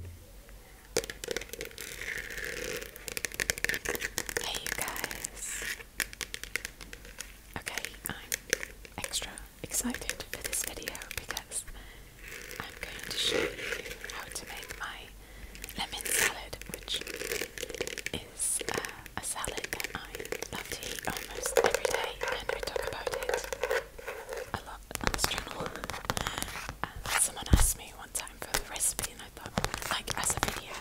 Hey, guys. Okay, I'm extra excited for this video because I'm going to show you how to make my lemon salad, which is uh, a salad I love to eat almost every day, and we talk about it a lot on this channel. someone asked me one time for the recipe, and I thought, like, as a video,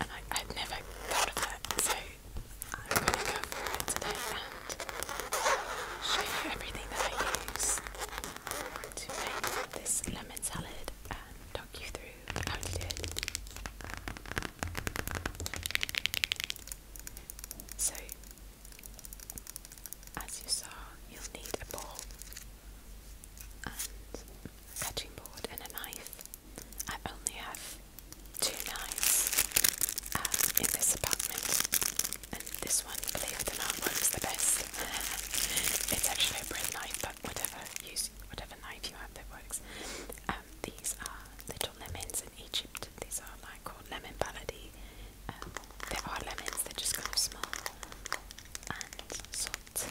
and I, i never thought of that. So I'm gonna go for it today and show you everything that I use to make this lemon salad and talk you through how to do it. So as you saw, you'll need a ball a cutting board and a knife. I only have two knives um, in this apartment, and this one, believe it or not, works the best. it's actually a bread knife, but whatever use, whatever knife you have that works. Um, these are little lemons in Egypt. These are called Lemon Balady. Um, there are lemons, they're just kind of small and salt.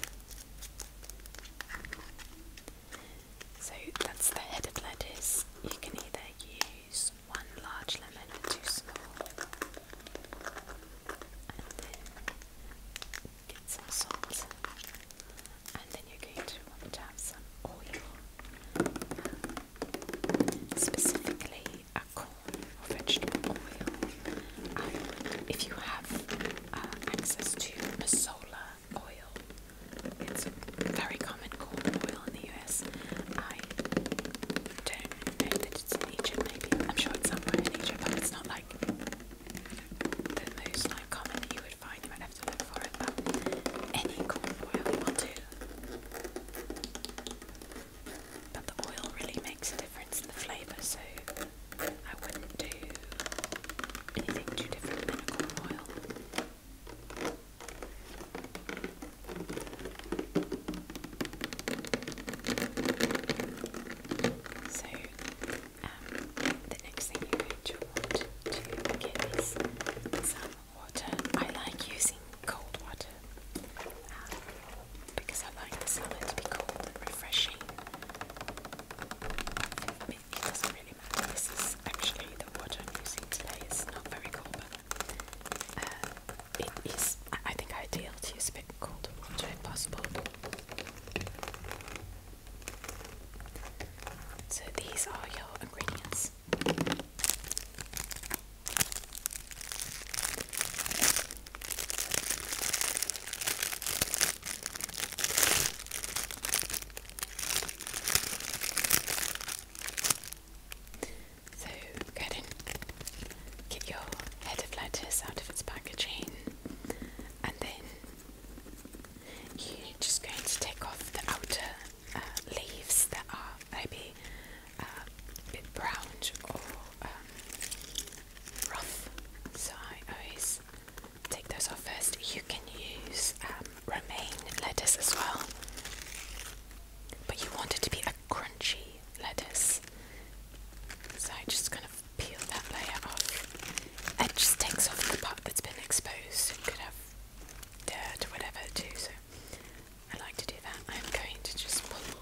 So that's the head of lettuce. You can either use one large lemon or two small, and then get some salt and then you're going to want to have some oil, specifically a corn or vegetable oil. Um, if you have uh, access to masola oil, it's a very common corn oil in the US. I don't know that it's in Egypt, maybe. I'm sure it's somewhere in Egypt, but it's not like the most like, common that you would find. You have to for it, any corn oil will do. But the oil really makes a difference in the flavour, so I wouldn't do anything too different than corn oil. So um, the next thing you're going to want to get is some water. I like using cold water um, because I like the salad to be cold and refreshing. It, doesn't really matter. This is actually the water I'm using today. is not very cold, but uh, it is, I think, ideal to use a bit cold, water if possible. So these are your ingredients. So go ahead and get your head of lettuce out of its packaging and then you're just going to take off the outer uh, leaves that are maybe uh, a bit brown or um, rough. So I always take those off first. You can use um, romaine lettuce as well, but you want it to be a crunchy lettuce. So I just kind of peel that layer off. It just takes off the part that's been exposed. could have dirt or whatever too, so I like to do that. I'm going to just pull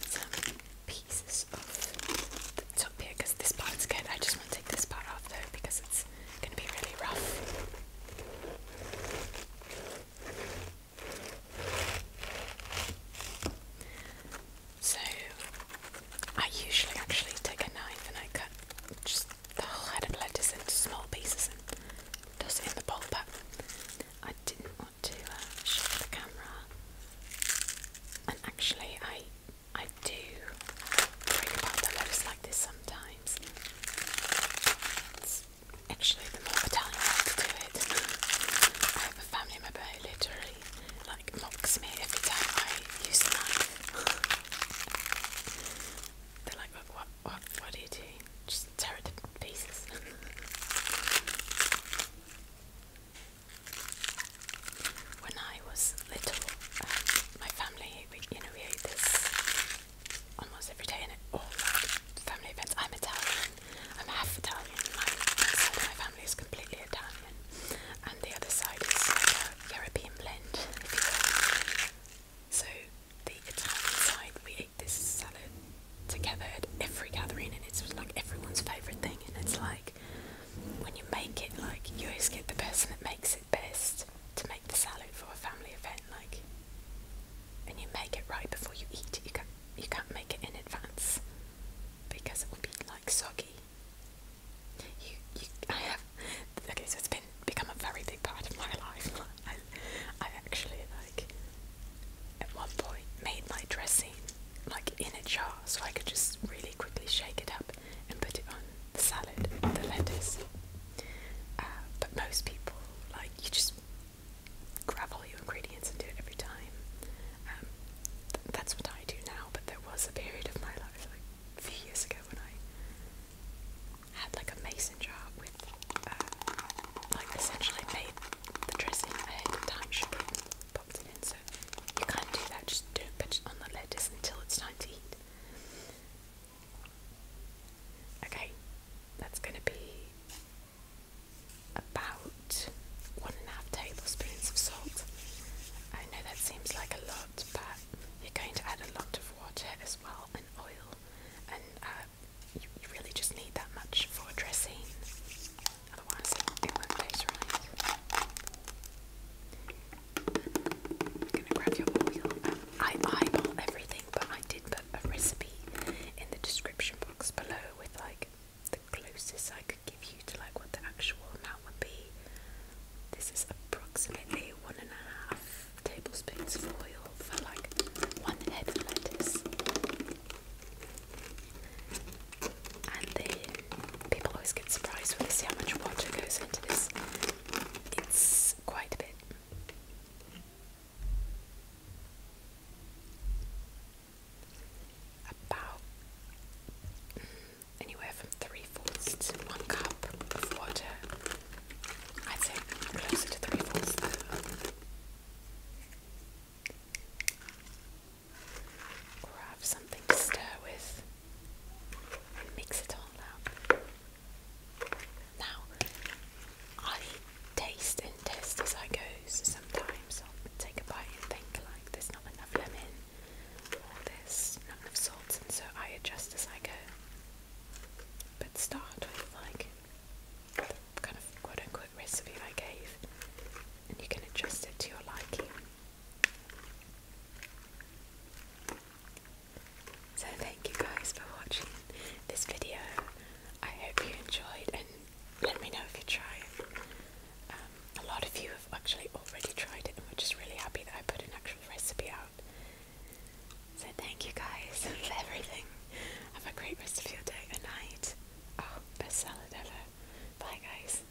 some pieces off the top here because this part's good. I just want to take this part off though because it's going to be really rough. So I usually actually take a knife and I cut just the whole head of lettuce into small pieces and toss it in the bowl, but I didn't want to uh, the camera. And actually, I I do think about the lettuce like this sometimes. actually the more the I way to do it. I have a family member literally like mocks me every time I use the knife. They're like, what, what, what, what you do? Just tear it to pieces. when I was little, um, my family, you know, we ate this almost every day, and all family events. I'm Italian, I'm half Italian. My side my family is completely Italian, and the other side is like a European blend, if you will. So the Italian side, we eat this salad together at every gathering, and it's like everyone's favourite thing. And it's like when you make it, like you always get the person that makes it best to make the salad for a family event. Like and you make it right before you eat. You can't, you can't make it in advance because it will be like soggy. You, you, I have. Okay, so it's been become a very big part of my life. I, I actually like at one point made my dressing like in a jar so I could just really quickly shake it up and put it on the salad, the lettuce. Uh, but most people like you just grab all your ingredients and do it every time. Um, that's what I do now, but there was a period of my life, years ago, when I had like a mason jar with, uh, like, essentially made the dressing ahead of time, sugar, popped it in. So you can't do that, just don't put it on the lettuce until it's time to eat. Okay, that's going to be about one and a half tablespoons of salt. I know that seems like a lot, but you're going to add a lot of water as well and oil, and uh, you, really just need that much for dressing, otherwise, it won't, taste right. I eyeball everything but I did put a recipe in the description box below with like the closest I could give you to like what the actual amount would be. This is approximately one and a half tablespoons of oil for like one head of lettuce. And then people always get surprised when they see how much water goes into this. It's is quite a bit. About anywhere from three fourths to one cup of water. I'd closer to three fourths. Or something to stir with. Mix it all up. Now, I taste and test as I go, sometimes I'll take a bite and think like there's not enough lemon or there's not enough salt and so I adjust as I go. But start with like the kind of quote unquote recipe I gave and you can adjust it to your liking. So thank you guys for watching this video. I hope you enjoyed and let me know if you try it. Um, a lot of you have actually already tried it and we're just really happy that I put an actual recipe out. So thank you guys for everything. Have a great rest of your day and night. Oh, best salad ever. Bye guys.